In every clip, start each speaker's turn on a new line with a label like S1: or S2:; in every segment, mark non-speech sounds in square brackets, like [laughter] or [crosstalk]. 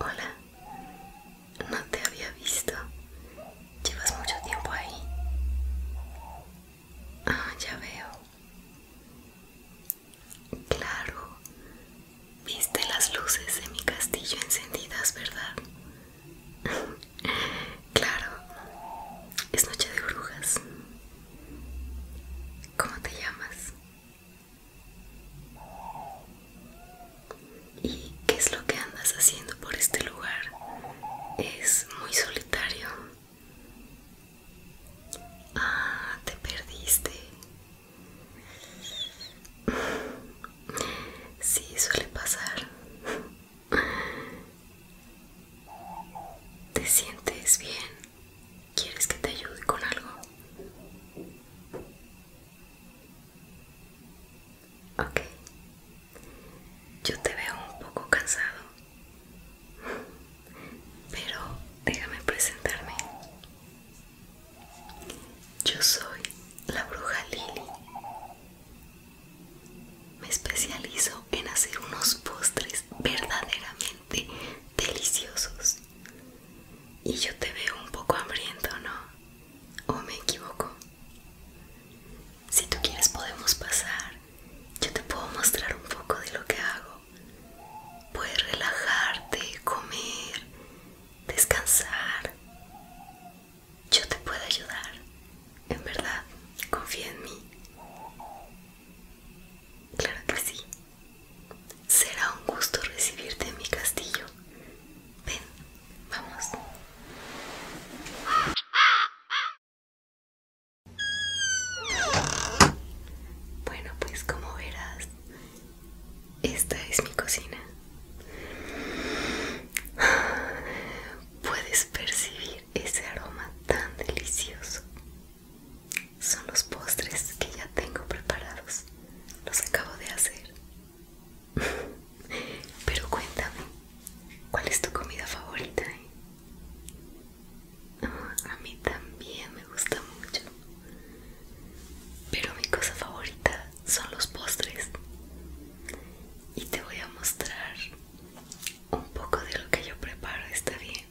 S1: Hola, no te había visto. Llevas mucho tiempo ahí. Ah, ya veo. Claro. Viste las luces en mi castillo encendidas, ¿verdad? [laughs] claro. Es noche de brujas. ¿Cómo te llamas? ¿Y qué es lo que andas haciendo por este lugar? Es muy solitario. Ah, te perdiste. Sí, suele pasar. ¿Te sientes bien? ¿Quieres que te ayude con algo? Ok, yo te veo un poco cansado, pero déjame presentarme. Yo soy la bruja Lily. Me especializo en hacer unos postres verdaderamente deliciosos. Y yo te veo un poco hambriento, ¿no? ¿O me equivoco? Si tú quieres podemos pasar. Yo te puedo mostrar un poco de lo que hago. Puedes relajarte, comer, descansar. Yo te puedo ayudar. En verdad, confía en mí. Claro que sí. Será un gusto recibirte en mi castillo. Ven, vamos. Bueno, pues como verás, esta es mi cocina. Puedes percibir ese aroma tan delicioso. Son los postres que ya tengo preparados los acabo de hacer. Pero cuéntame, ¿cuál es tu comida favorita? Ah, a mí también me gusta mucho. Pero mi cosa favorita son los postres. Y te voy a mostrar un poco de lo que yo preparo, ¿está bien?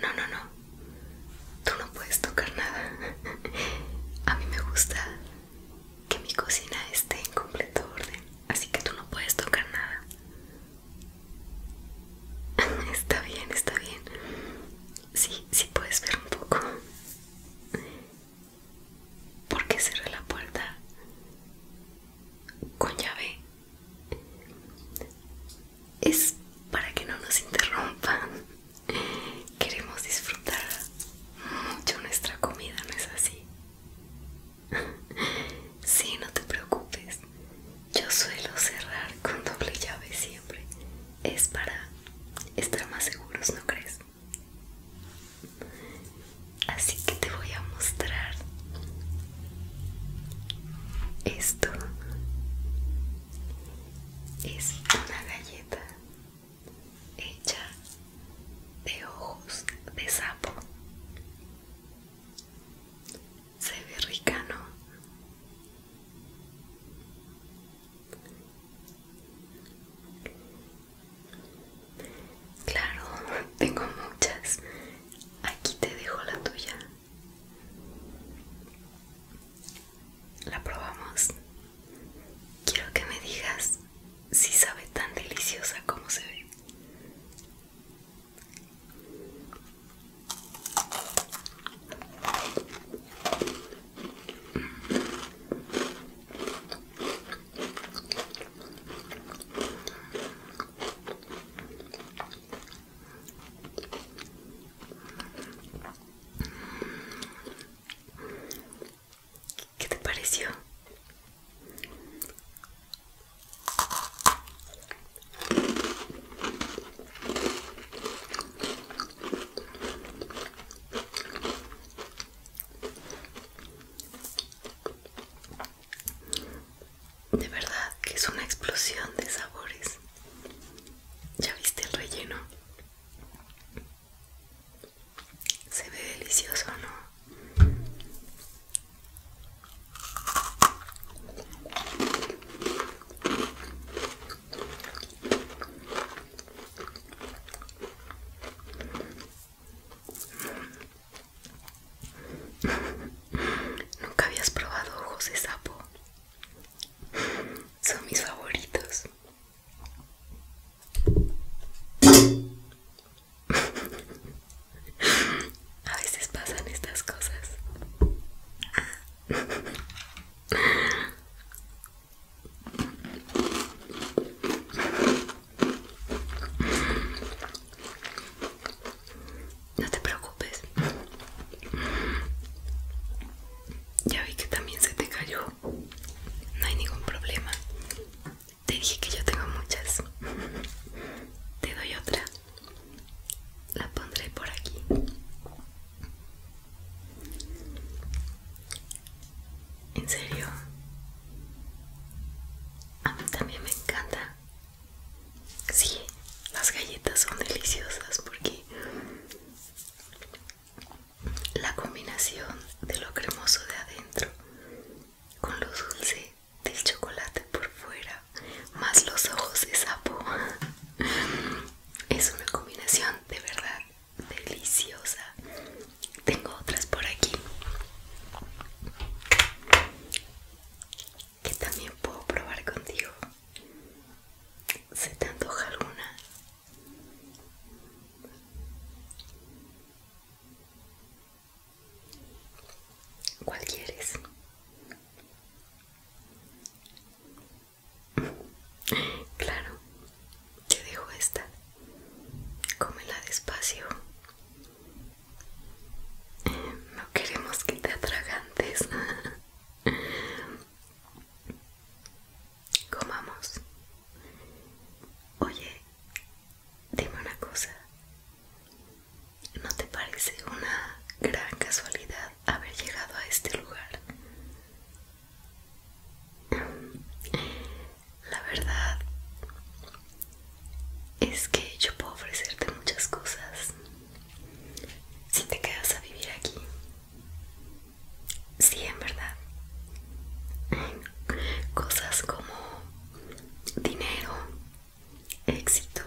S1: No, no, no, tú no puedes tocar nada. A mí me gusta que mi cocina esté en completo orden, así que tú no puedes tocar nada. [laughs] Está bien, está bien. Sí, sí puedes ver un poco. ¿Por qué cerré la puerta con llave? es para que no nos interrumpan. Queremos disfrutar mucho nuestra comida, ¿no es así? Sí, no te preocupes. Yo suelo cerrar con doble llave siempre. Es para estar más seguros, ¿no crees? Así que te voy a mostrar esto. Es una galleta hecha de ojos de sapo. Se ve rica, ¿no? Claro, [laughs] tengo muchas. Aquí te dejo la tuya. ¿La probamos? Quiero que me digas si sabe tan deliciosa como se ve. ¿Qué te pareció? De verdad que es una explosión de sabores. ¿Ya viste el relleno? Se ve delicioso, ¿no? [laughs] Nunca habías probado ojos de sapo. Son mis favoritos. A veces pasan estas cosas. No te preocupes. Ya vi que también se te cayó. No hay ningún problema. Te dije que yo tengo muchas. [laughs] Te doy otra. La pondré por aquí. ¿En serio? A mí también me encanta. Sí, las galletas son deliciosas porque la combinación de lo cremoso de adentro con lo dulce del chocolate por fuera, más los ojos de sapo, es una combinación de verdad deliciosa. Tengo otras por aquí que también puedo probar contigo ¿Se te antoja alguna? ¿Cuál quieres? Claro, te dejo esta. Cómela despacio. No queremos que te atragantes. [laughs] Comamos. Oye, dime una cosa. ¿No te parece una gran casualidad haber llegado a este lugar? La verdad es que yo puedo ofrecerte muchas cosas. Si te quedas a vivir aquí, Sí, en verdad. Cosas como dinero, éxito,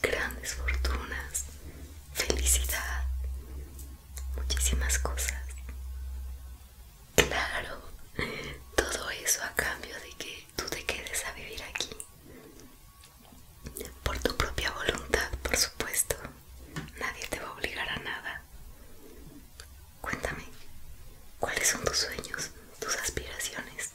S1: grandes fortunas, felicidad, muchísimas cosas. Claro, todo eso a cambio de que tú te quedes a vivir aquí. Por tu propia voluntad, por supuesto. Nadie te va a obligar a nada. Cuéntame, ¿cuáles son tus sueños, tus aspiraciones?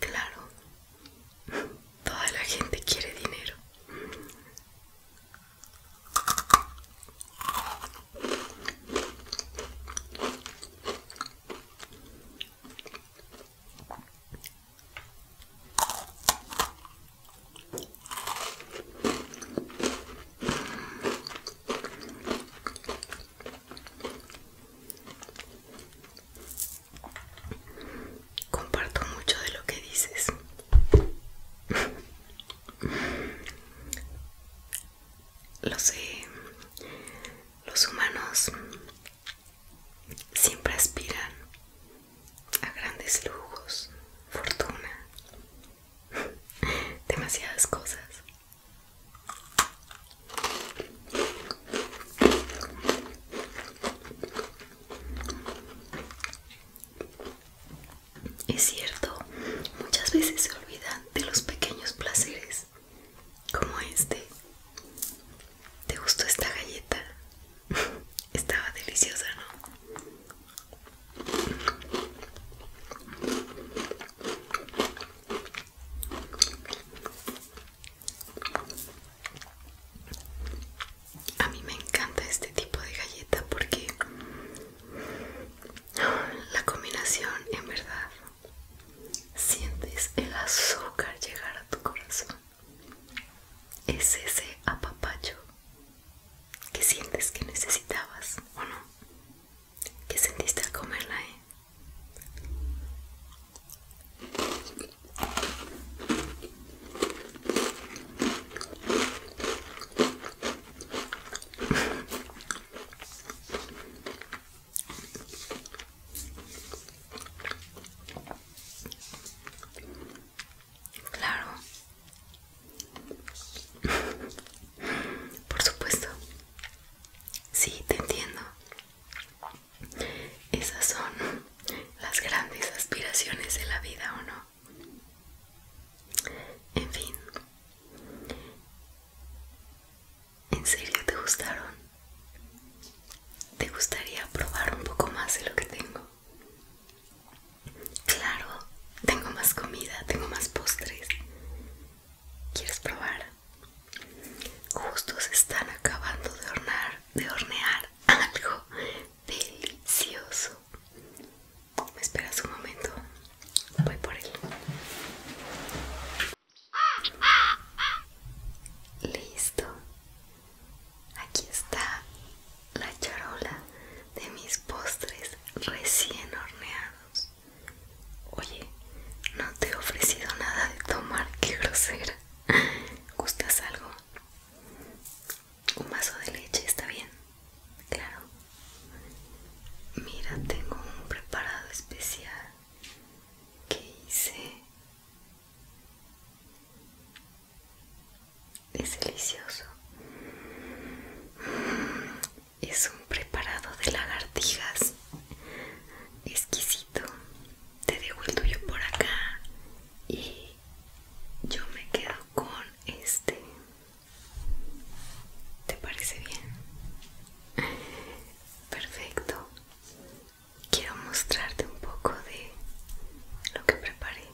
S1: Claro, toda la gente quiere dinero. Comparto mucho de lo que dices. Lo sé. Los humanos siempre aspiran a grandes lujos, fortuna, demasiadas cosas. Es cierto, muchas veces se olvidan de los pequeños placeres, como este. ¿Te gustó esta galleta? [laughs] Estaba deliciosa, ¿no? A mí me encanta este tipo de galleta porque la combinación en verdad sientes el azúcar llegar a tu corazón. Es ese apapacho que sientes que necesitabas o no. ¿Qué sentiste al comerla, eh? Claro. Por supuesto. Sí, te entiendo. Esas son las grandes aspiraciones de la vida, ¿o no? En fin. ¿En serio te gustaron? ¿Te gustaría probar un poco más de lo que tengo? Claro, tengo más comida, tengo más postres. ¿Quieres probar? Justo se están acabando de hornear, de hornear algo delicioso. ¿Me esperas un momento? Voy por él. Listo. Aquí está la charola de mis postres recién horneados. Oye, no te he ofrecido nada de tomar, qué grosera. ¿Gustas algo? Un vaso de leche, ¿está bien? Claro. Mira, tengo un preparado especial que hice. Es delicioso es un preparado de lagartijas exquisito. Te dejo el tuyo por acá y yo me quedo con este. ¿Te parece bien? Perfecto. Quiero mostrarte un poco de lo que preparé.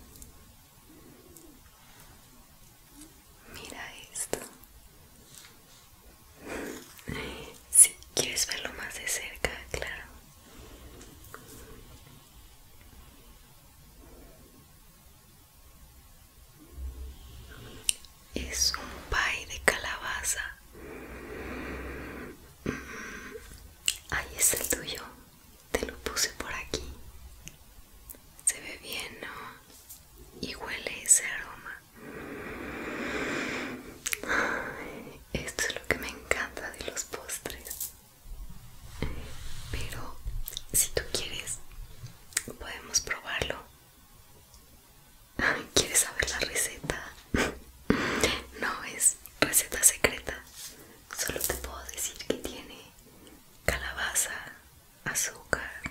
S1: Mira esto. Si quieres verlo más de cerca, claro. Es un pay de calabaza. Mm, ahí es el tuyo. Te lo puse por aquí. Se ve bien, ¿no? Y huele ese aroma. Esto es lo que me encanta de los postres. Pero si tú quieres, podemos probarlo. ¿Quieres saber la receta? [laughs] No es receta secreta. Solo te puedo decir que tiene calabaza, azúcar,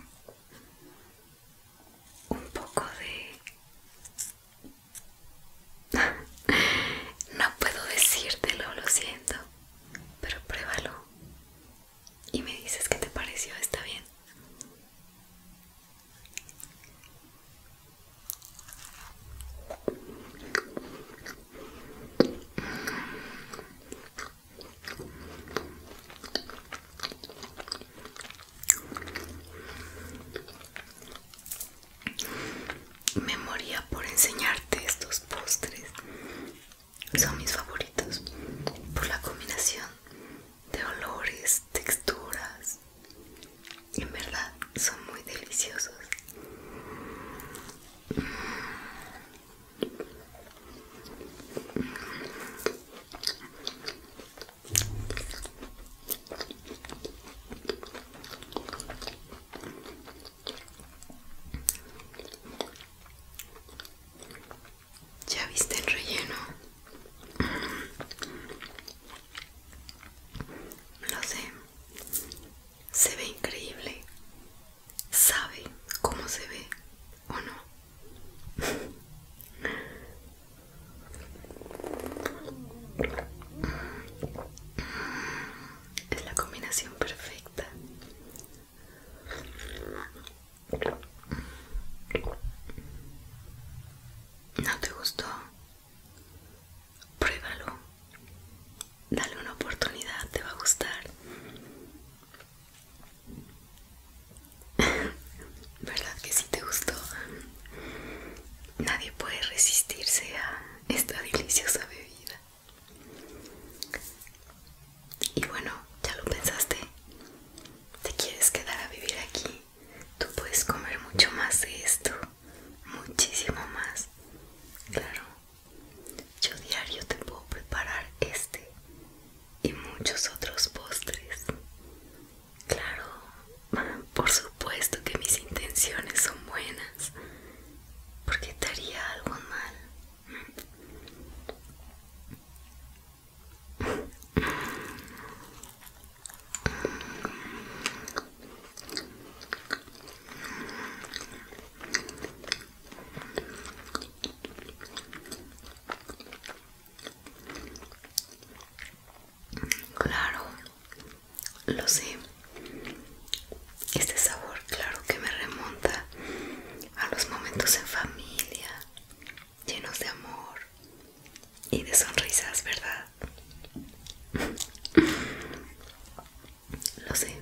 S1: un poco de... [laughs] no puedo decírtelo, lo siento, pero pruébalo y me dices que te pareció, está bien. Me moría por enseñarte estos postres. Son mis favoritos por la combinación de olores, texturas. En verdad son muy deliciosos. Ya viste el relleno. Mm. Lo sé. Se ve increíble. ¿Sabe cómo se ve o no? Es la combinación perfecta. ¿No te gustó? Pruébalo. Dale una oportunidad, te va a gustar. ¿Verdad que si te gustó? Nadie puede resistirse a esta deliciosa bebida. Y bueno, ya lo pensaste. ¿Te quieres quedar a vivir aquí? Tú puedes comer mucho más de esto. Muchísimo más. Claro. Yo diario te puedo preparar este y muchos otros postres. Claro, por supuesto que mis intenciones son buenas. Porque estaría haría algo mal? Claro, lo sé. Este sabor, claro que me remonta a los momentos en familia, llenos de amor y de sonrisas, ¿verdad? Lo sé,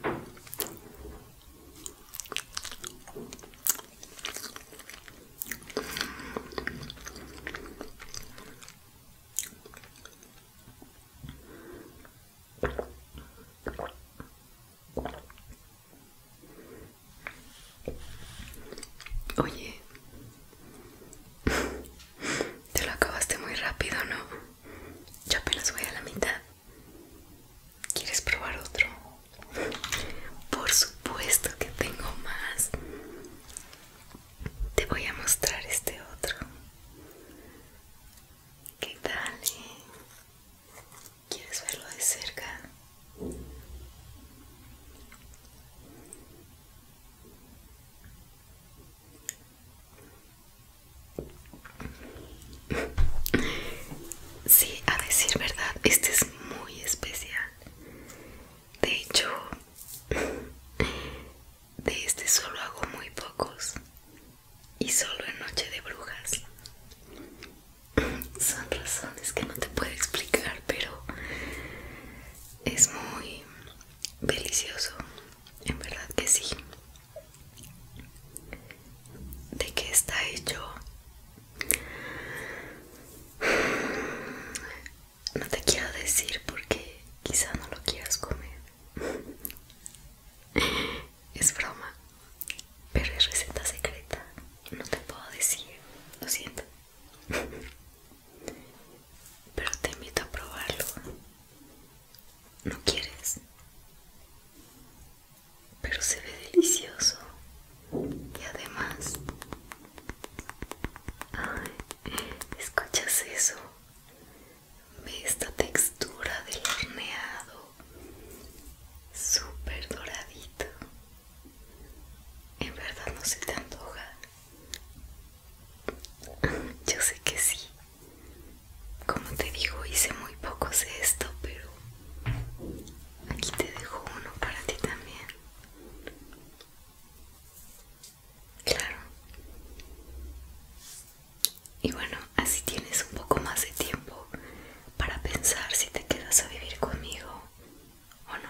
S1: Oye, te lo acabaste muy rápido, ¿no? Yo apenas voy a la mitad. ¿Quieres probar otro? Por supuesto que tengo más. Te voy a mostrar este otro. ¿Qué tal? Eh? ¿Quieres verlo de cerca? sí, a decir verdad, este es muy especial. De hecho, de este solo hago muy pocos y solo en Noche de Brujas. Son razones que no te puedo explicar, pero es muy delicioso, en verdad que sí. ¿De qué está hecho? No te quiero decir porque quizá no lo quieras comer. Es broma, pero es receta secreta. No te puedo decir, lo siento. Pero te invito a probarlo. ¿No quieres? pero se ve delicioso y además escuchas eso ve esta textura del horneado súper doradito en verdad no se te antoja yo sé que sí como te digo hice muy pocos esto pero Aquí te dejo uno para ti también. Claro. Y bueno, así tienes un poco más de tiempo para pensar si te quedas a vivir conmigo o no.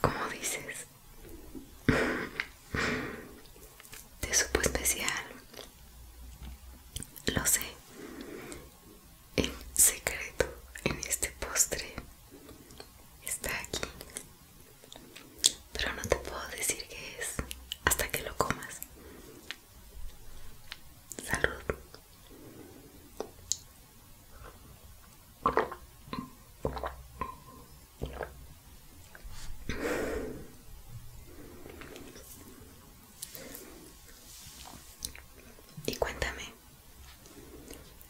S1: Como dices? Te supo especial. Lo sé. En secreto, en este postre está aquí pero no te puedo decir qué es hasta que lo comas. Salud. Y cuéntame,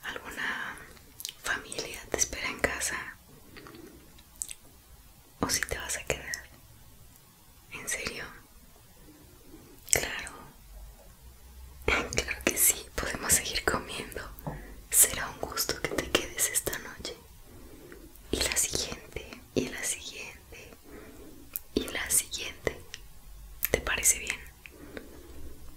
S1: alguna familia te espera en casa o si te vas a quedar. ¿En serio? Claro. [laughs] Claro que sí, podemos seguir comiendo. Será un gusto que te quedes esta noche. Y la siguiente, y la siguiente, y la siguiente. ¿Te parece bien?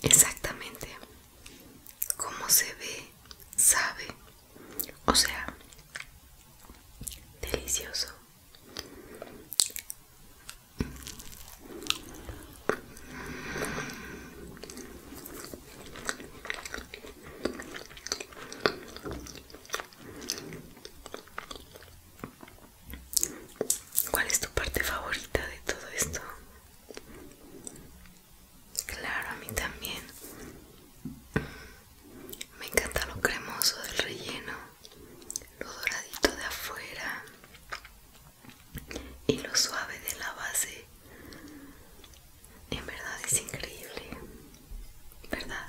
S1: Exactamente, como se ve, sabe o sea, delicioso. ¿Cuál es tu parte favorita de todo esto? Claro, a mí también. Me encanta lo cremoso del relleno, lo doradito de afuera y lo suave de la base. En verdad es increíble, ¿verdad?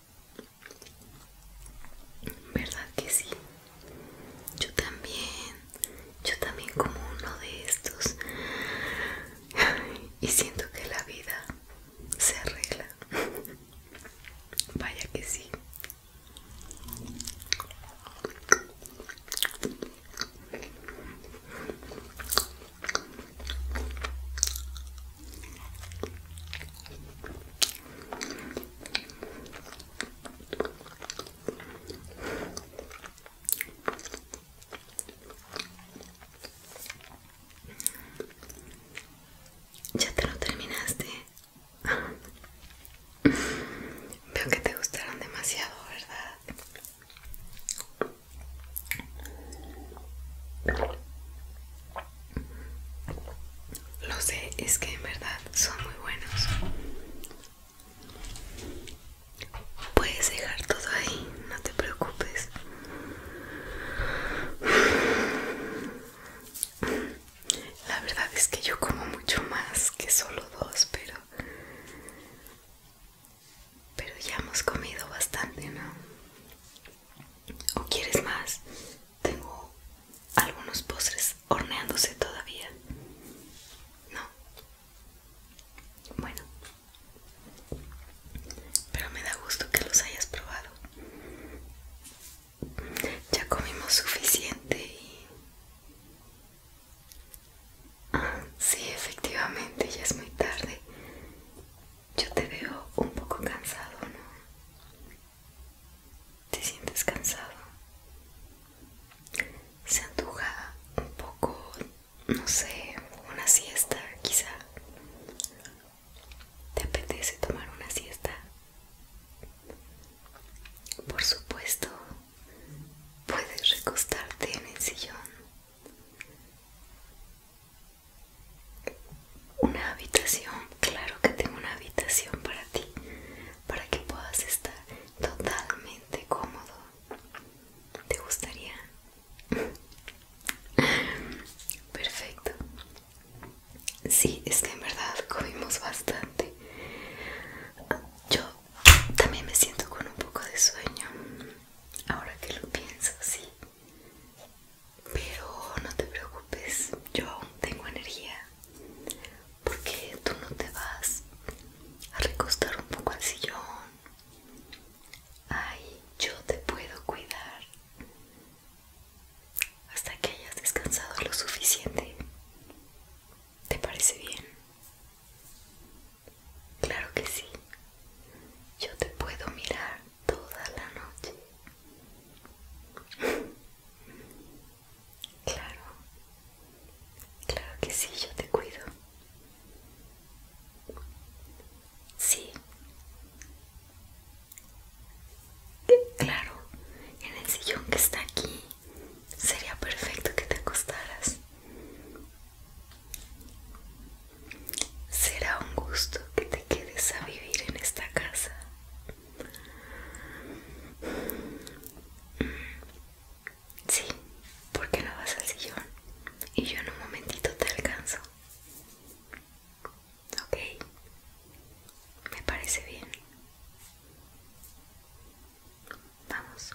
S1: ¿Verdad que sí? Yo también, yo también como uno de estos. Y siento que la vida se arregla. Vaya que sí. Ya te lo terminaste. [laughs] Veo que te gustaron demasiado, ¿verdad? Lo sé, es que en verdad son muy buenos. Puedes dejar todo ahí, no te preocupes. La verdad es que yo como mucho más que solo dos, pero... Pero ya hemos comido bastante, ¿no? ¿O quieres más? Tengo algunos postres horneándose todavía. No. Bueno. Pero me da gusto que los hayas probado. Ya comimos suficiente y... Ah, sí, efectivamente, ya es muy tarde. Yo te veo un poco cansado, ¿no? ¿Te sientes cansado? Se anduja un poco, no sé, una siesta quizá. ¿Te apetece tomar una siesta? Por supuesto, puedes recostarte en el sillón una habitación, claro que tengo una habitación para ti, para que puedas estar totalmente cómodo. ¿Te gustaría? Perfecto. Sí, es que en verdad comimos bastante. Yo también me siento con un poco de sueño. Ahora que lo pienso, sí. Pero no te preocupes, yo tengo energía. Porque tú no te vas a recostar un poco al sillón. Ay, yo te puedo cuidar hasta que hayas descansado lo suficiente. ¿Te parece bien? Claro que sí. Yo te puedo mirar toda la noche. Claro, claro que sí, yo te cuido. Sí. Claro, en el sillón que está aquí sería perfecto que te acostaras. Será un gusto que te quedes a vivir en esta casa. Mm, sí, porque no vas al sillón y yo en un momentito te alcanzo. Ok, me parece bien. Vamos.